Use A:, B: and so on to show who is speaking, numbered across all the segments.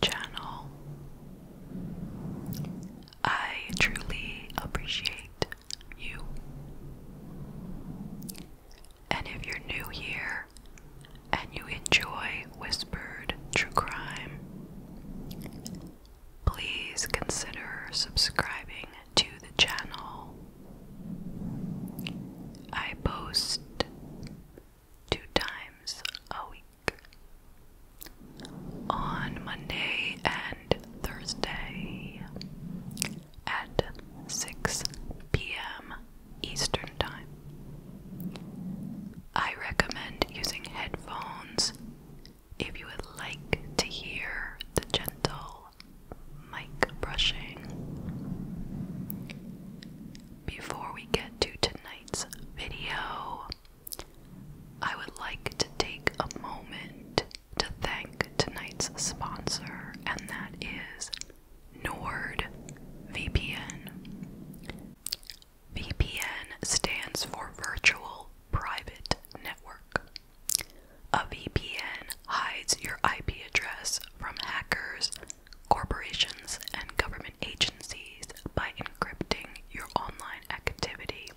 A: channel. I truly appreciate you. And if you're new here and you enjoy Whispered True Crime, please consider subscribing to the channel. I post two times a week on Monday and Thursday at 6 p.m. Eastern Time. I recommend using headphones if you would like to hear the gentle mic brushing. Before we get to tonight, video, I would like to take a moment to thank tonight's sponsor, and that is NordVPN. VPN stands for Virtual Private Network. A VPN hides your IP address from hackers corporations, and government agencies by encrypting your online activity.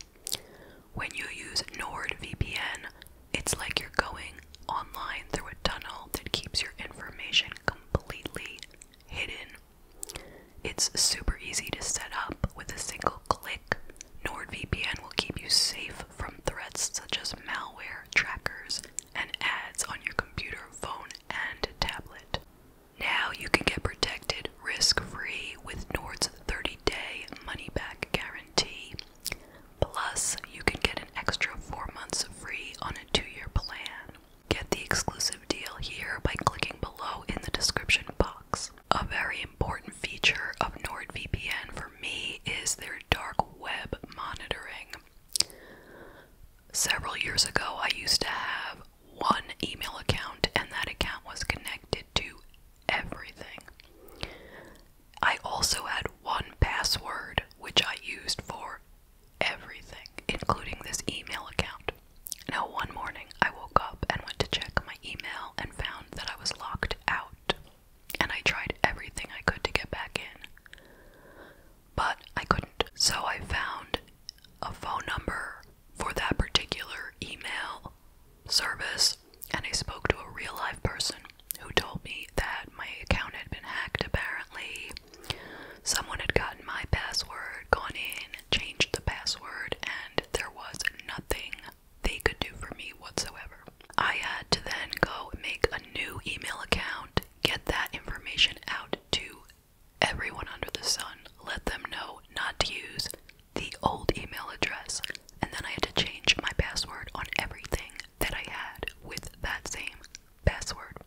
A: When you use NordVPN, it's like you're going online through a tunnel that keeps your information completely hidden. It's super easy to set up with a single click. NordVPN will keep you safe from threats such as malware, trackers, and ads on your computer, phone, and tablet. Now you can get protected risk free with Nord's 30 day money back guarantee. Plus, you can get an extra 4 months free on a 2 year plan. Get the exclusive deal here by clicking below in the description box. A very important feature of NordVPN for me is their dark web monitoring. Several years ago, I used to have one email account, and that account was connected to everything. I also had one password which I used for everything, including this email account. Now, one morning I woke up and went to check my email and found that I was locked out, and I tried everything I could to get back in but I couldn't. So I found a phone number for that particular email service and I spoke to a real life person who told me that my account had been hacked apparently. Someone had gotten my password, gone in, changed the password, and there was nothing they could do for me whatsoever. I had to then go make a new email account, get that information out to everyone under the sun, let them know not to use the old email address, and then I had to change my password on everything that I had with that same password.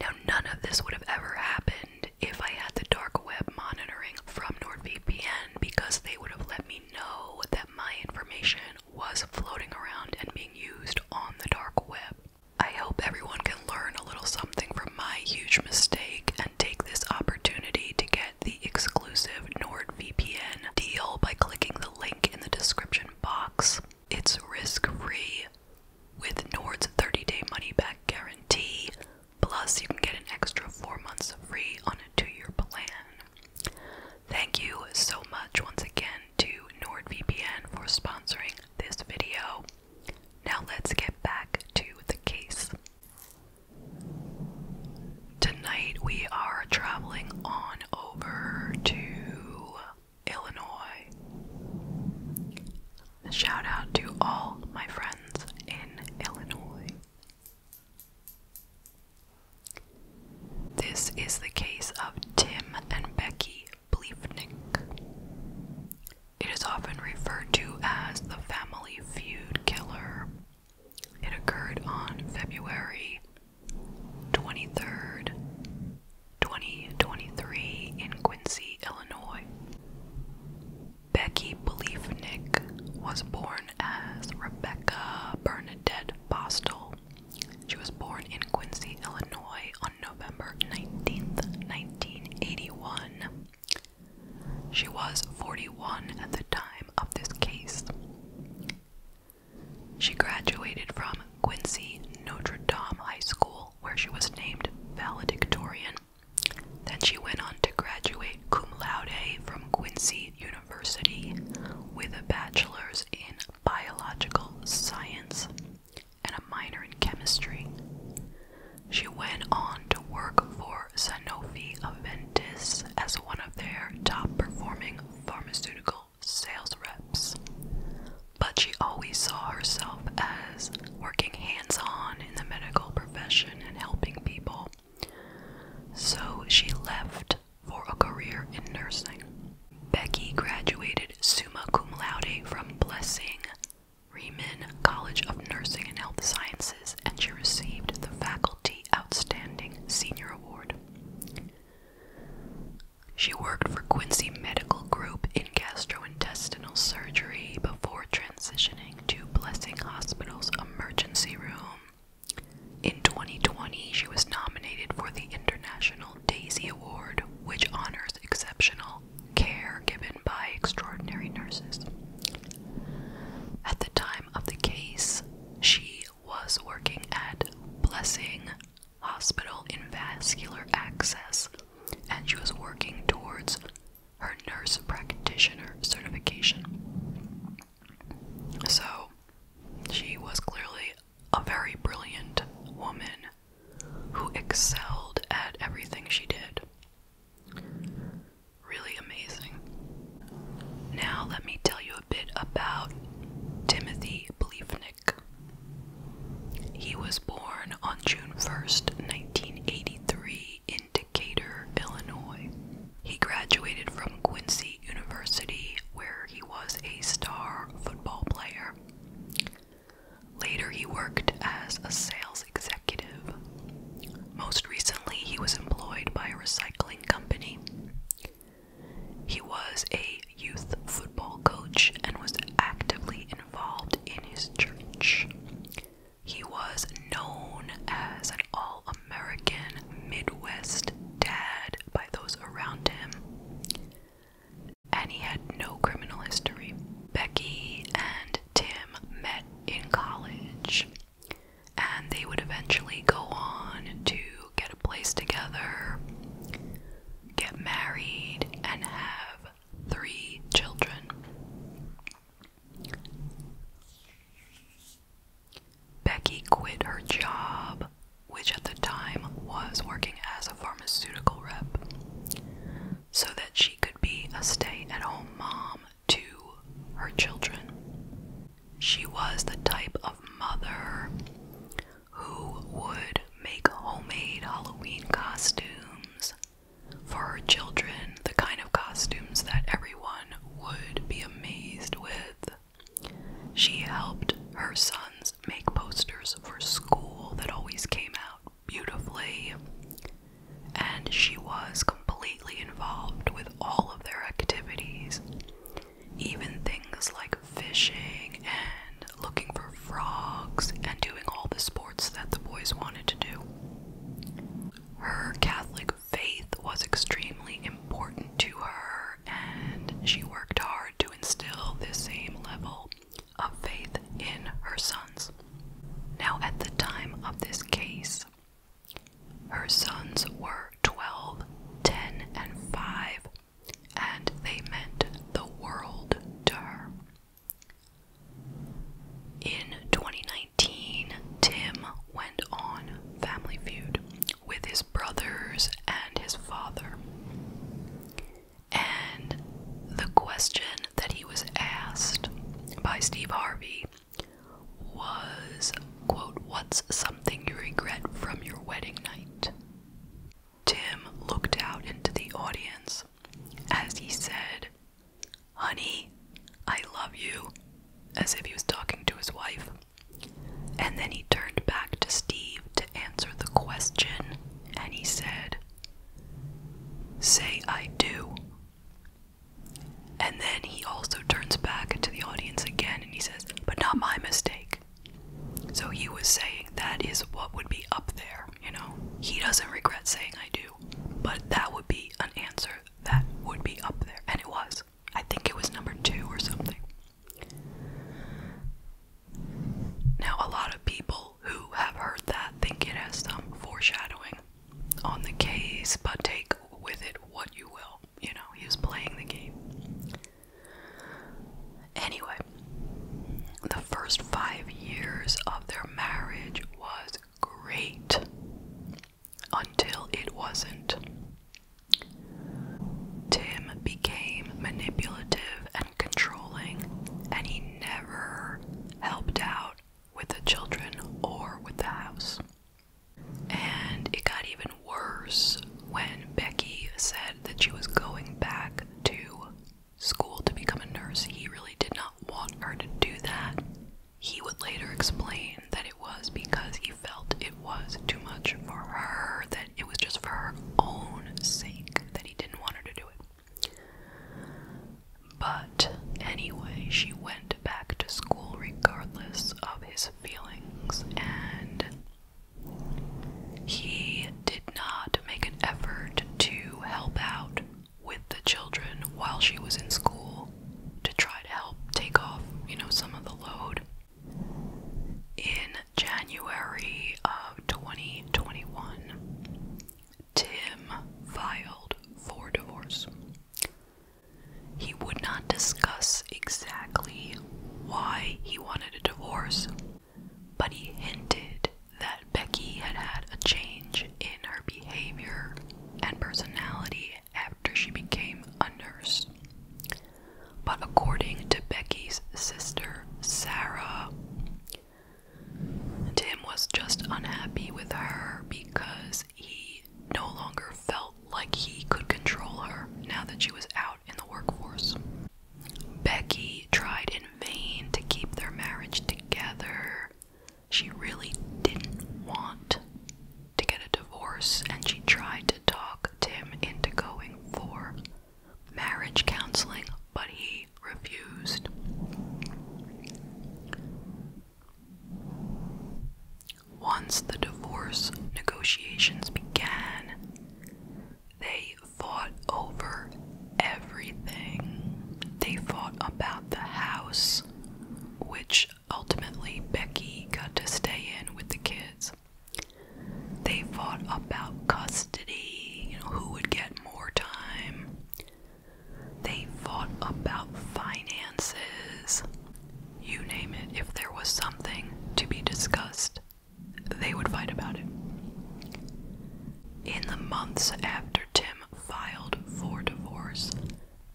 A: Now, none of this would have ever happened if I had the dark web monitoring from NordVPN because they would have let me know that my information was floating around and being used on the dark web. I hope everyone can learn a little something from my huge mistake and take this opportunity to get the exclusive NordVPN deal by clicking the link in the description box. It's risk free with Nord's 30 day money back guarantee, plus, you can get an extra four months free on a two year plan. Thank you so much once again to NordVPN for sponsoring this video. Now let's get back to the case. Tonight we are traveling on over to Illinois. Shout out to all my friends in Illinois. This is the case of Tim and Becky Bleefnick. It is often referred to as the Family Feud Killer. It occurred on February 23rd, 2023, in Quincy, Illinois. Becky Beliefnick was born as Rebecca Bernadette Bostel. She was born in Quincy, Illinois on November 19th, 1981. She was 41 at the time of this case. She graduated from Quincy Notre Dame High School, where she was named valedictorian. Then she went on to graduate cum laude from Quincy University with a bachelor's in biological science and a minor in chemistry. She went on to work for Sanofi Aventis as one of their top performing pharmaceutical sales reps. But she always saw herself as working hands on in the medical profession and helping people. So she left for a career in nursing. Becky graduated summa cum laude from Blessing Riemann College of Nursing and Health Sciences, and she received the Faculty Outstanding Senior Award. She worked for Quincy Medical Group in gastrointestinal surgery before transitioning to Blessing Hospital's emergency room. In 2020, she was nominated for the International Daisy Award, which honors exceptional care given by extraordinary nurses. At the time of the case, she was working at Blessing Hospital in vascular access, and she was working towards her nurse practitioner certification. So, she was clearly a very brilliant woman who excelled at everything she did. Really amazing. Now, let me tell you a bit about Timothy Bleefnik. He was born on June 1st, 1983, in Decatur, Illinois. He graduated from Quincy University, where he was a star football player. Later, he worked as a sales executive. Most recently, he was employed by a recycling company. He was a youth football coach and was actively involved in his church. He was known as an all American Midwest dad by those around him and he had no criminal history. Becky and Tim met in college, and they would eventually go on to get a place together, get married, and have three children. Becky quit her job, which at the time was working as a pharmaceutical rep, so that she could be a stay at home mom to her children. She was the type of mother who would make homemade Halloween costumes for her children, the kind of costumes that everyone would be amazed with. She helped her sons make posters for school that always came out beautifully, and she was completely involved with all of their activities, even things like fishing and looking for frogs and doing all the sports that the boys wanted to do. Her Catholic faith was extremely important to her, and she worked hard to instill the same level of faith in her sons. Now, at the time of this case, her sons were twelve, ten, and five, and they meant the world to her. In 2019, Tim went on Family Feud with his brothers and his father. And the question that he was asked by Steve Harvey was, quote, what's something you regret from your wedding night? Tim looked out into the audience as he said, honey, I love you, as if he was talking to his wife. And then he turned back to Steve to answer the question, and he said, Say I do. And then he also turns back to the audience again and he says, But not my mistake. So he was saying that is what would be up there, you know? He doesn't regret saying I do, but that would be an answer that would be up there. And it was. I think it was number two or something. Now, a lot of people who have heard that think it has some foreshadowing on the case, but take with it what you will. You know, he was playing the game. Anyway, the first five years of their marriage was great until it wasn't. Tim became manipulative and controlling, and he never helped out with the children or with the house. And it got even worse when Becky said that she was going back to school to become a nurse. He really did not want her to do that. He would later explain that it was because he felt it was too much for her, that it was just for her own sake that he didn't want her to do it. But anyway, she went back to school regardless of his feelings, and he did not make an effort to help out with the children while she was in school to try to help take off, you know, some of the load. In January of 2021, Tim filed for divorce. He would not discuss exactly why he wanted a divorce, but he hinted that Becky had had a change in her behavior and personality after she became a nurse. But according to Becky's sister, Sarah, Tim was just unhappy with her because he no longer felt like he could control her now that she was out in the workforce. Becky tried in vain to keep their marriage together. She really didn't want to get a divorce, and she tried to talk Tim into going for marriage counseling, but he refused. Once the divorce negotiations began, they fought over everything. They fought about the house, which ultimately Becky got to stay in with the kids. They fought about custody, who would get more time. They fought about finances. You name it, if there was something to be discussed, they would fight about it. In the months after Tim filed for divorce,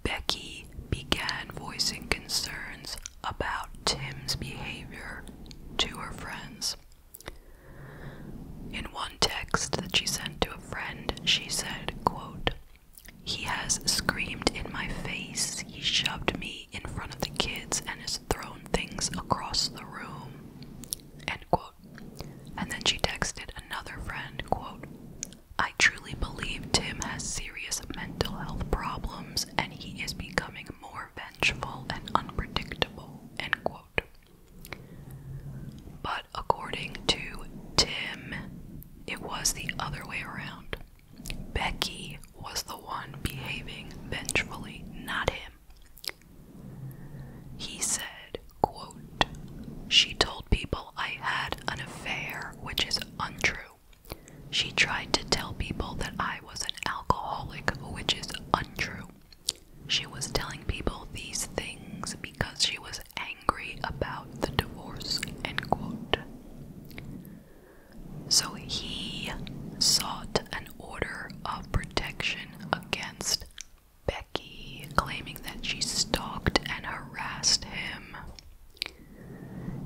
A: Becky began voicing concerns about Tim's behavior to her friends. In one text that she sent to a friend, she said, quote, He has screamed in my face, he shoved me in front of the kids and has thrown things across the room. And then she texted another friend, quote, I truly believe Tim has serious mental health problems and he is becoming more vengeful and unpredictable. End quote. But according to Tim, it was the other way around. Becky was the one behaving vengefully, not him. He said, quote, She told people I had an affair, which is untrue. She tried to tell people that I was an alcoholic, which is untrue. She was telling people these things because she was angry about the divorce, end quote. So he sought an order of protection against Becky, claiming that she stalked and harassed him.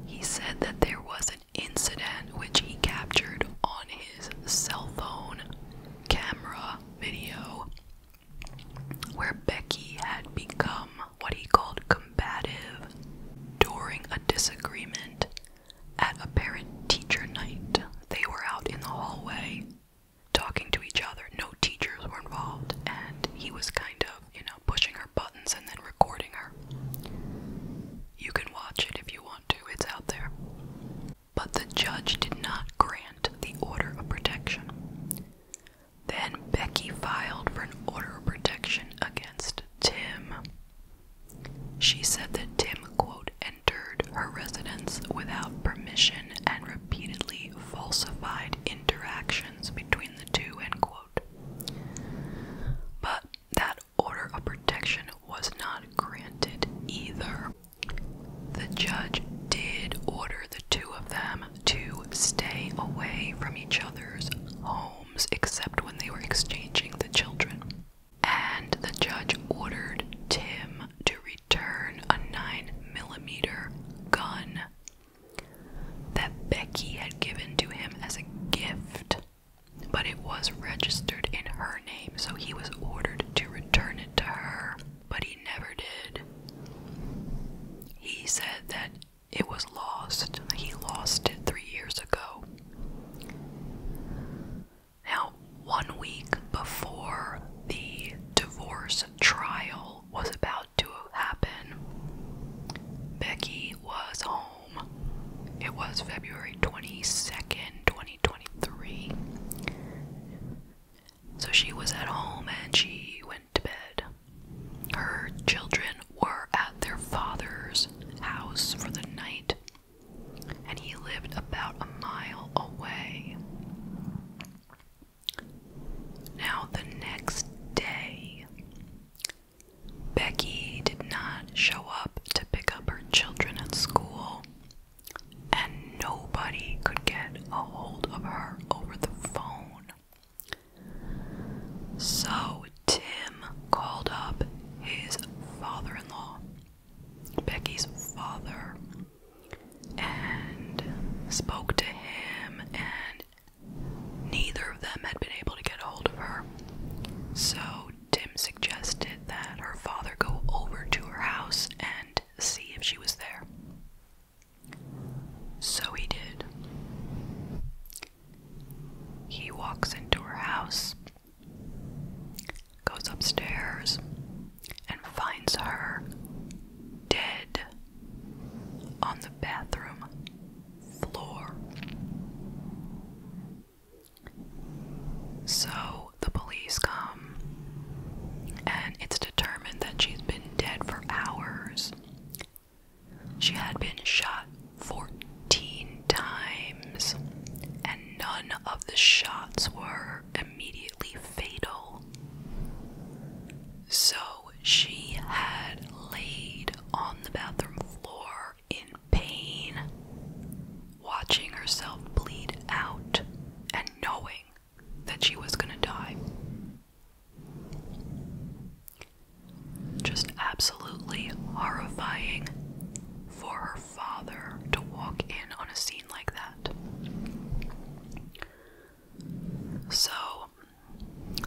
A: He said that there was an incident which he captured on his cell phone camera video where Becky had become what he called combative during a disagreement at a parent teacher night. They were out in the hallway talking to each other, no teachers were involved, and he was kind of, you know, pushing her buttons and then recording her. You can watch it if you want to, it's out there. But the judge did not grant the order of protection. Then Becky filed for an order of protection against Tim. She said that Tim, quote, entered her residence without permission and repeatedly falsified interactions between the two, end quote. But that order of protection was not granted either. The judge did order the two of them to stay away from each other's homes except when they were exchanging the children. And the judge ordered Tim to return a 9 millimeter gun that Becky had given to him as a gift, but it was registered in her name, so he was ordered to return it to her but he never did. He said that it was lost. He lost it three years ago. Now, one week before the divorce trial was about to happen, Becky was home. It was February 22nd, 2023. So she was at home and she went to bed. Her children were at their father's house for the night, and he lived about a mile away. Now, the next day, Becky did not show up to pick up her children at school and nobody could get a hold of her over the phone. So Tim called up his father in law, Becky's father, and spoke to him, and neither of them had been able to get a hold of her. So Tim suggested that her father go over to her house and see if she was there. So he did. He walks into her house, goes upstairs, and finds her dead on the bathroom floor. So the police come um, and it's determined that she's been dead for hours. She had been shot 14 times, and none of the shots were immediately fatal. So she had laid on the bathroom floor in pain, watching herself bleed out and knowing that she was gonna die. Just absolutely horrifying for her father to walk in on a scene like that. So,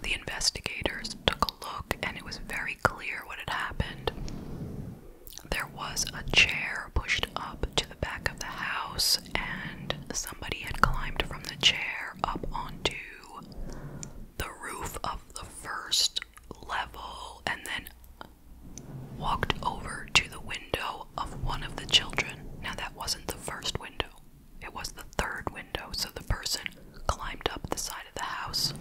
A: the investigators took a look, and it was very clear what had happened. There was a chair pushed up to the back of the house and somebody had climbed from the chair up onto the roof of the first level and then walked over to the window of one of the children. Now, that wasn't the first window, it was the third window. So the person climbed up the side of the house,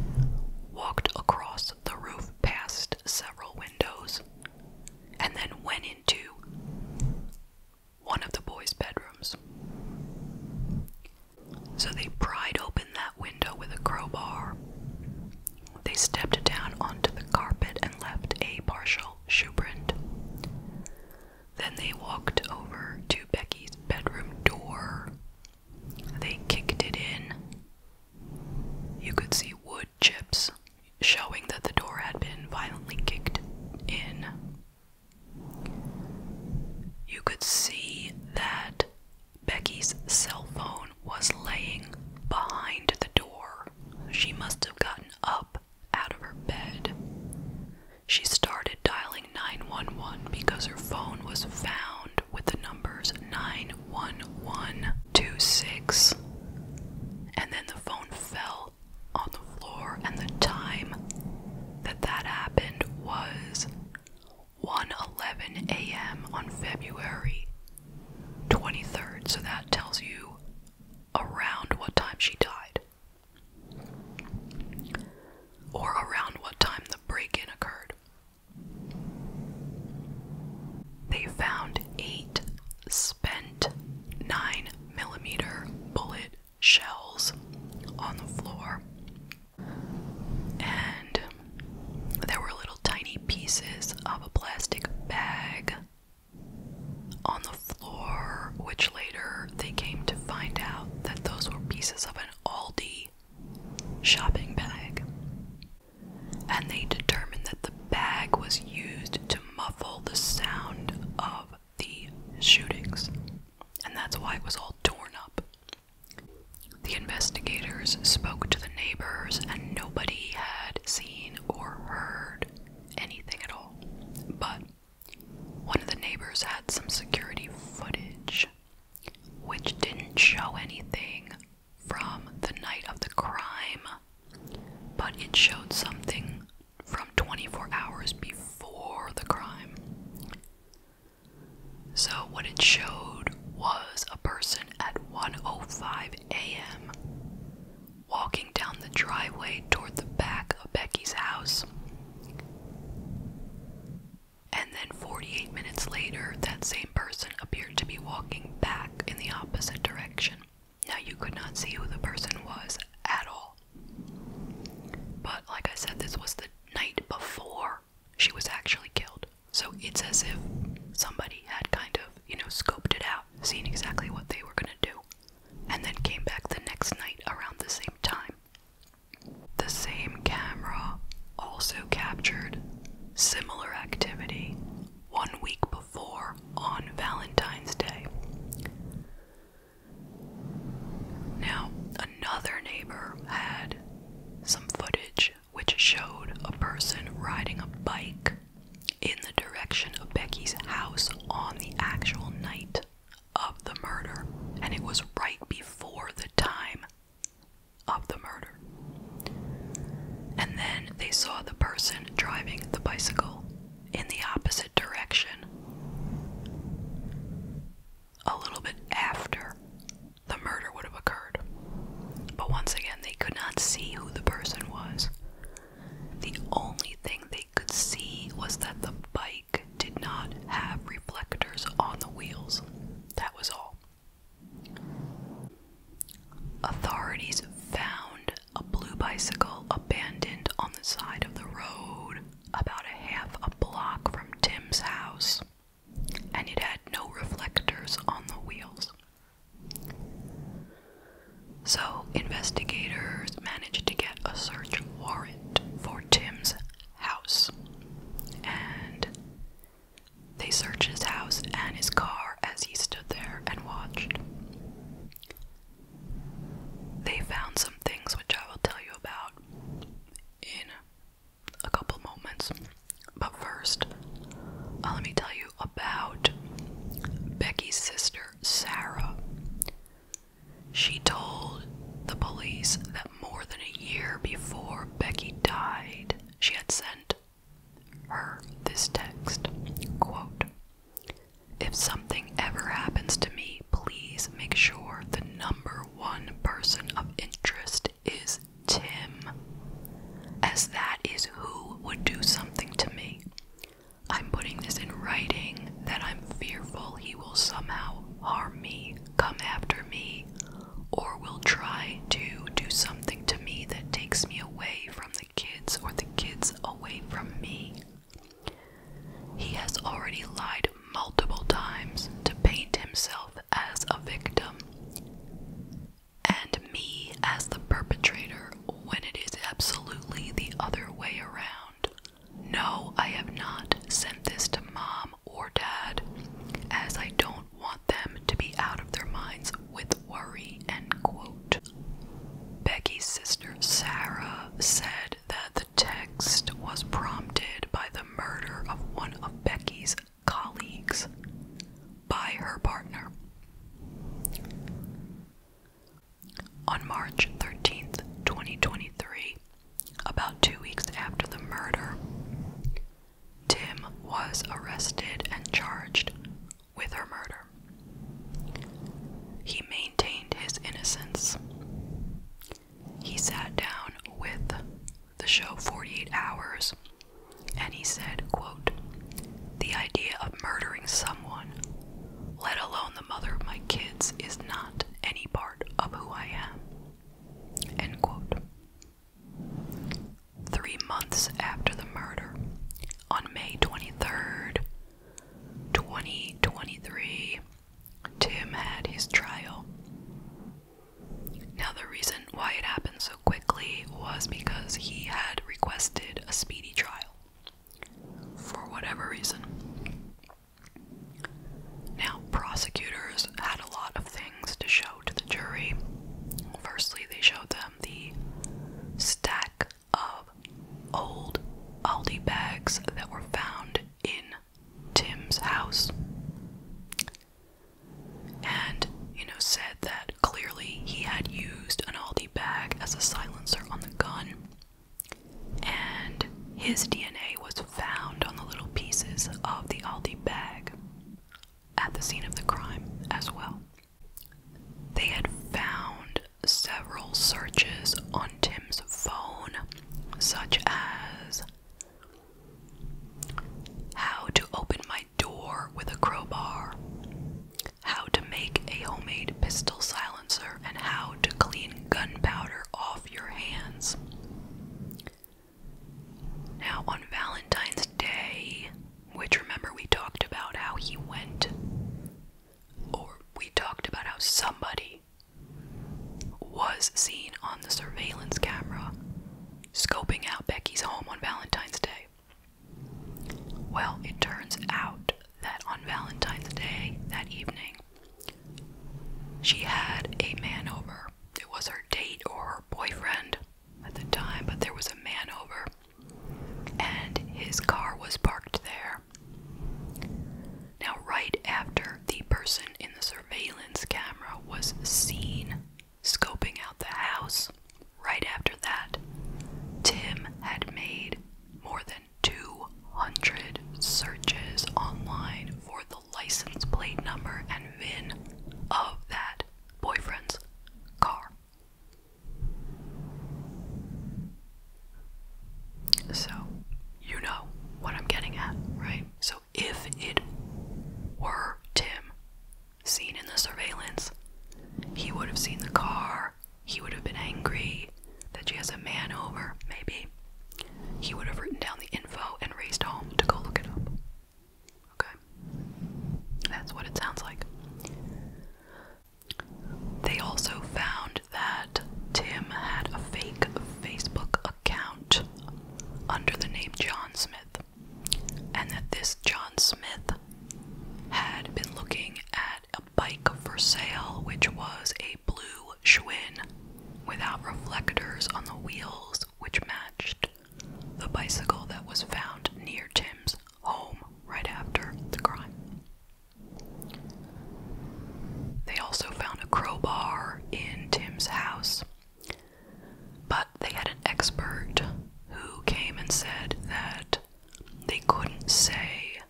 A: walked across the roof past several windows, and then went into one of the boys' bedrooms. So they pried open that window with a crowbar. They stepped down onto the carpet and left a partial shoe print. Then they walked over to Becky's bedroom door. They kicked it in. You could see wood chips showing that the door had been violently kicked in. You could see that Becky's cell phone was laying behind the door. She must have gotten up out of her bed. She started dialing 911 because her phone was found with the numbers 91126. And then the phone fell on the floor, and the time that that happened was 1:11 a.m. on February 23rd. So that tells you around what time she died, or around what time the break-in occurred. They found eight Bent 9 millimeter bullet shells on the floor. And there were little tiny pieces of a plastic bag on the floor, which later they came to find out that those were pieces of an Aldi shopping bag. And they determined that the bag was used to muffle the sound of the shootings, and that's why it was all torn up. The investigators spoke to the neighbors, and nobody had seen or heard anything at all. But one of the neighbors had some security footage which didn't show anything from the night of the crime, but it showed something from 24 hours before the crime. So, what it showed was a person at oh five a.m. walking down the driveway toward the back of Becky's house. And then 48 minutes later, that same person appeared to be walking back in the opposite direction. Now, you could not see who the person was at all. But, like I said, this was the night before she was actually killed. So it's as if somebody had kind of, you know, scoped it out, seen exactly what they were gonna do, and then came back the next night around the same time. The same camera also captured similar activity one week before on Valentine's Day. Now, another neighbor had some footage which showed a person riding a bike in the direction of Becky's house on the actual night of the murder, and it was right before the time of the murder. And then they saw the person driving the bicycle in the opposite direction a little bit after the murder would have occurred. But once again, they could not see who the person was. The only thing they could see was that the bike did not have reflectors on the wheels. That was all. Authorities found a blue bicycle abandoned on the side of the road about a half a block from Tim's house, and it had no reflectors on the wheels. So, investigators managed to get a search warrant for Tim's house. And they searched his house and his car as he stood there and watched. They found some things which I will tell you about in a couple moments. But first, uh, let me tell you about Becky's sister, Sarah. She told the police that more than a year before Becky died, she had sent her this text quote, if something ever happens to me, please make sure the number one person of interest is Tim, as that is who would do something to me. I'm putting this in writing that I'm fearful he will somehow harm me, come after me, or will try to do something to me that takes me away from the kids or the kids away from me. He has already lied multiple times to paint himself as a victim and me as the perpetrator when it is absolutely the other way around. No, I have not sent this to mom or dad, as I don't want them to be out of their minds with worry. End quote. Becky's sister Sarah said that the text was prompted by the murder of one of Becky's colleagues by her partner. On March 13th, 2023, about two weeks after the murder, Tim was arrested and charged with her murder. He maintained his innocence. He sat down with the show 48 hours and he said, quote, The idea of murdering someone, let alone the mother of my kids, is not any part of who I am. End quote. Three months after the murder, on May 23rd, 2023, Tim had his trial. Now, the reason why it happened so quickly was because he had requested a speedy trial for whatever reason. Now, prosecutors had a lot of things to show to the jury. Firstly, they showed them the stack of old Aldi bags that were found in Tim's house. And, you know, said that clearly he had used an Aldi bag as a silencer on the gun. And his DNA was found on the little pieces of the Aldi bag at the scene of the crime as well. They had found several searches on Tim's phone, such as how to open my door with a crowbar, how to make a homemade pistol silencer, and how to clean gunpowder off your hands. Now, on Valentine's Day, which remember we talked about how he went, or we talked about how somebody was seen on the surveillance camera scoping out Becky's home on Valentine's Day. Well, it turns out that on Valentine's Day that evening, she had a man over. It was her date or her boyfriend at the time, but there was a man over, and his car was parked there. Now, right after the person in the surveillance camera was seen scoping out the house, right after that, Tim had made more than 200 searches online for the license plate number and VIN of that boyfriend's car. So, you know what I'm getting at, right? So, if it were Tim seen in the surveillance, he would have seen the car, he would have been angry that she has a man over, maybe. He would have written down the info and raced home to go look it up. Okay? That's what it sounds like. They also found that Tim had a fake Facebook account under the name John Smith, and that this John Smith had been looking at a bike for sale, which was a blue Schwinn without reflectors on the wheels, which matched the bicycle that was found near Tim's home right after the crime. They also found a crowbar in Tim's house, but they had an expert who came and said that they couldn't say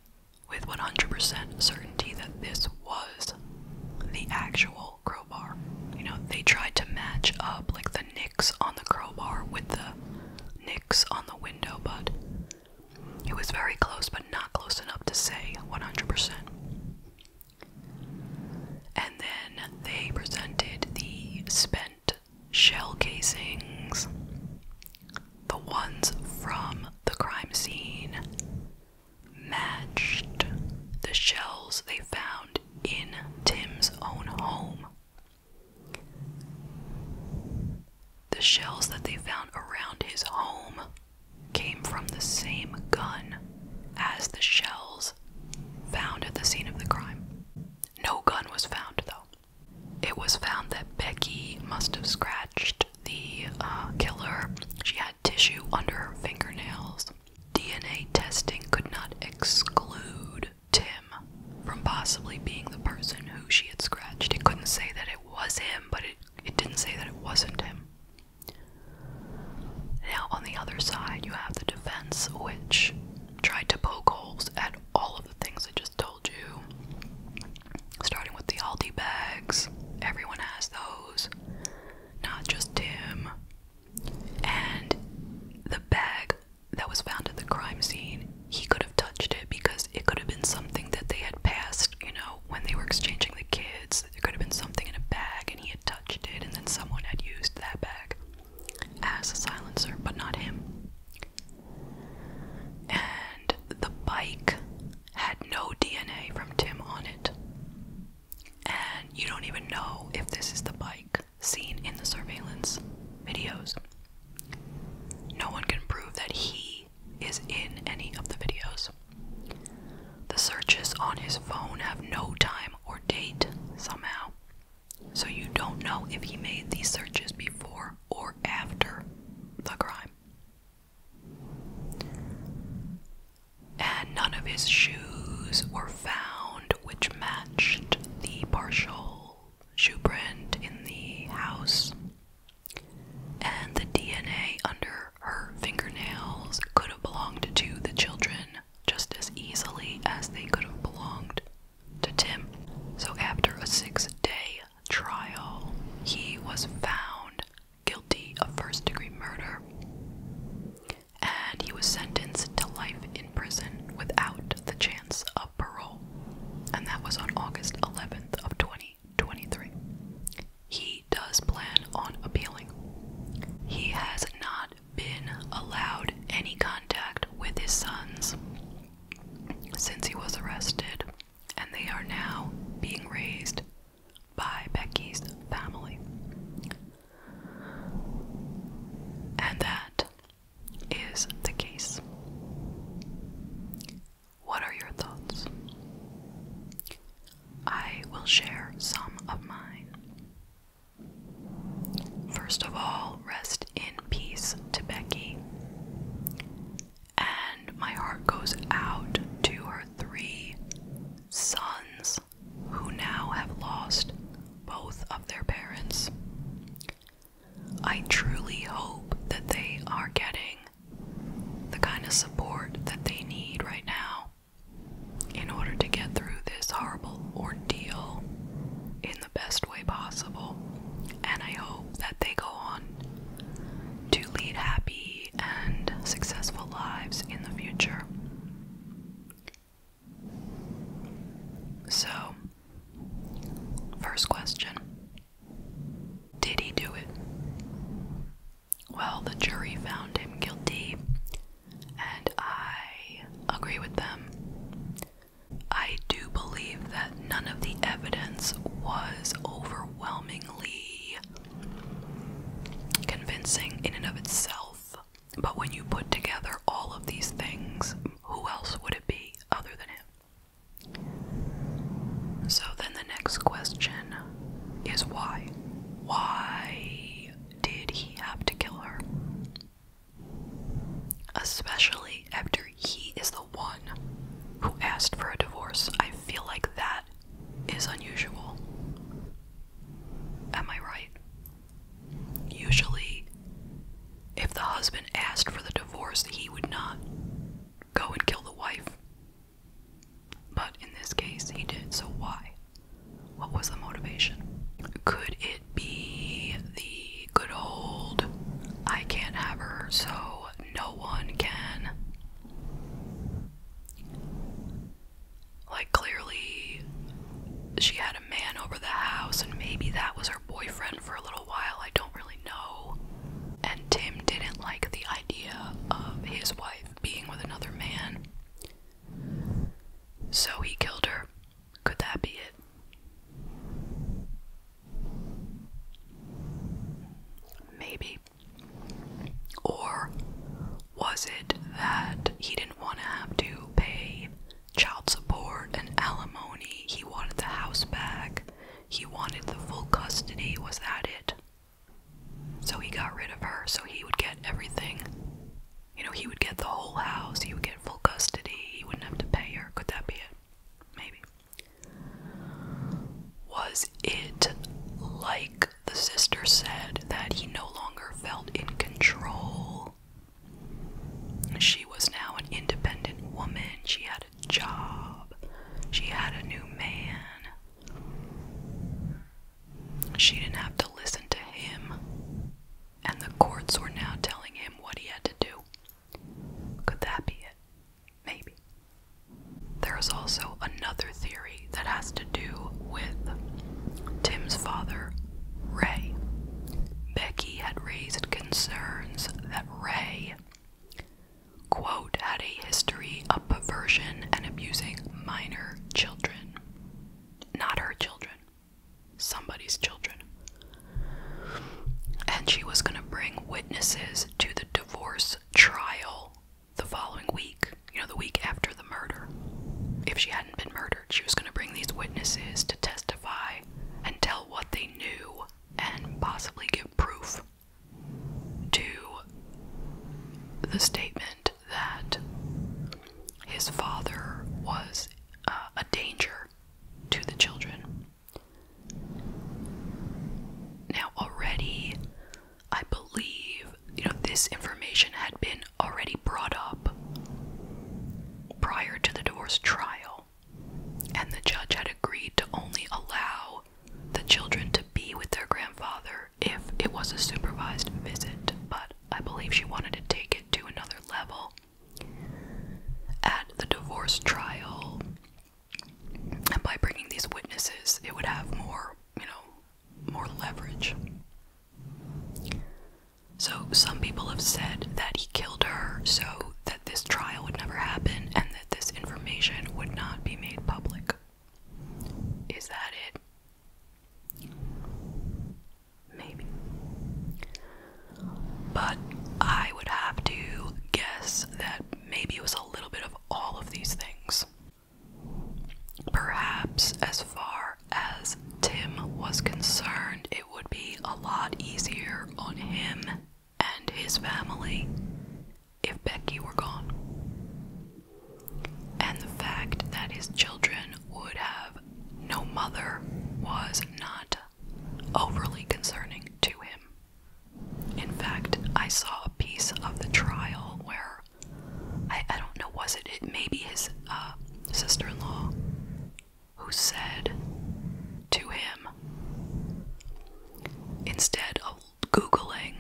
A: with 100% certainty that this was the actual crowbar. You know, they tried to match up like the nicks on the crowbar with the nicks on the window, but it was very close, but not close enough to say 100%. And then they presented the spent shell casings, the ones from the crime scene matched the shells they found in Tim's own home. The shells that they found around his home came from the same gun as the shells found at the scene of the crime. No gun was found, though. It was found that Becky must have scratched the uh, killer. She had tissue under her fingernails. DNA testing could not exclude Tim from possibly being the person who she had scratched. It couldn't say that it was him, but it it didn't say that it wasn't him. Now, on the other side, you have the defense, which tried to poke holes at all of the things I just told you. Starting with the Aldi bags, everyone has those, not just Tim. And the bag that was found at the crime scene, he could have touched it because it could have been something that they had passed, you know, when they were exchanging the kids, there could have been something in a bag and he had touched it and then someone had used that bag as a silencer, but not him. And the bike had no DNA from Tim on it. And you don't even know if this is the bike seen in the surveillance videos. No one can prove that he is in any of the videos. The searches on his phone have no time or date somehow, so you don't know if he made these searches before or after the crime. And none of his shoes were found, which matched the partial shoe print in the house and the DNA under her fingernails could have belonged to the children just as easily as they could have belonged to Tim. So, after a six day trial, he was found guilty of first degree murder and he was sentenced to life in prison without the chance of parole. And that was on August 11th of 20 2023. He does plan on appealing. He has not been allowed any contact with his sons since he was arrested, and they are now being raised by Becky's family. And that is the case. What are your thoughts? I will share some of mine. First of all, rest in peace to Becky. And my heart goes out to her three sons who now have lost both of their parents. I truly hope that they are getting the kind of support that they need right now in order to get through this horrible ordeal in the best way possible. And I hope that they go on to lead happy and successful lives in the future. So, first question Did he do it? Well, the jury found him guilty, and I agree with them. I do believe that none of the evidence was overwhelmingly convincing in and of itself, but when you put together all of these things, who else would it be other than him? So then the next question is why. Why did he have to kill her? Especially after he is the one who asked for a divorce. I feel like that is unusual. Am I right? Usually, if the husband asked for the divorce, he would not go and kill the wife. But in this case, he did, so why? What was the motivation? Could it be the good old I can't have her, so no one can? Like, clearly, she had a man over the house, and maybe that was her boyfriend for a little while. I don't really know. And Tim didn't like the idea of his wife being with another man. So he killed her. Could that be it? Maybe. Or was it that he didn't want to have to pay child support and alimony? He wanted the house back. He wanted the full custody. Was that it? So he got rid of her, so he would get everything. You know, he would get the whole house, he would get full custody, he wouldn't have to pay her. Could that be it? Maybe. Was it like the sister said that he no longer felt in control? She was now an independent woman, she had a job, she had a new man. She didn't have to listen to him, and the courts were now telling him what he had to do. Could that be it? Maybe. There is also another theory that has to do with Tim's father, Ray. Becky had raised concerns that Ray quote, had a history of perversion and abusing minor children. Not her children, somebody's children. And she was going to bring witnesses to the divorce trial the following week, you know, the week after the murder. If she hadn't been murdered, she was going to bring these witnesses to testify and tell what they knew and possibly give proof to the statement that his father was uh, a danger to the children. Now, already, I believe, you know, this information had been already brought up prior to the divorce trial, and the judge had agreed to only allow the children to be with their grandfather if it was a supervised visit, but I believe she wanted to take it to another level. At the divorce trial, and by bringing these witnesses, it would have more, you know, more leverage. So, some people have said that he killed her so that this trial would never happen and that this information would not be made public. Is that it? Maybe. But I would have to guess that maybe it was a little bit of all of these things. Perhaps, as far as Tim was concerned, it would be a lot easier on him and his family if Becky were gone. And the fact that his children would have no mother was not overly concerning to him. In fact, I saw a piece of the trial where I, I don't know, was it, it maybe his uh, sister in law who said to him, instead of Googling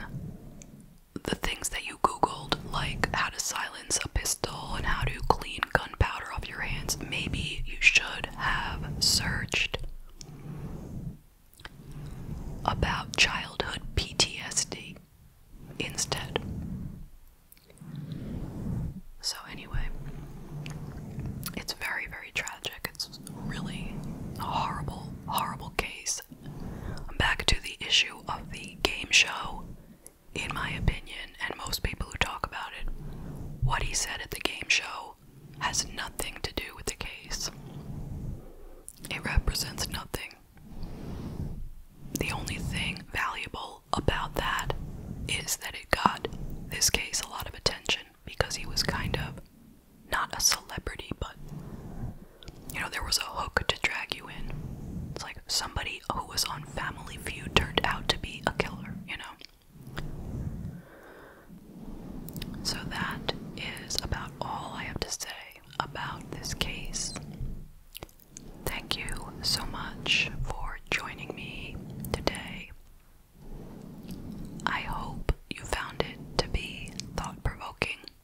A: the things that you googled, like how to silence a pistol and how to clean gunpowder off your hands, maybe you should have searched about childhood PTSD instead. So, anyway, it's very, very tragic. It's really a horrible, horrible case back to the issue of the game show, in my opinion, and most people who talk about it. What he said at the game show has nothing to do with the case, it represents nothing. The only thing valuable about that is that it got this case a lot of attention because he was kind of not a celebrity, but you know, there was a hook to drag you in. It's like somebody who was on Family Feud turned out to be a killer, you know? So that is about all I have to say about this case. Thank you so much for joining me today. I hope you found it to be thought provoking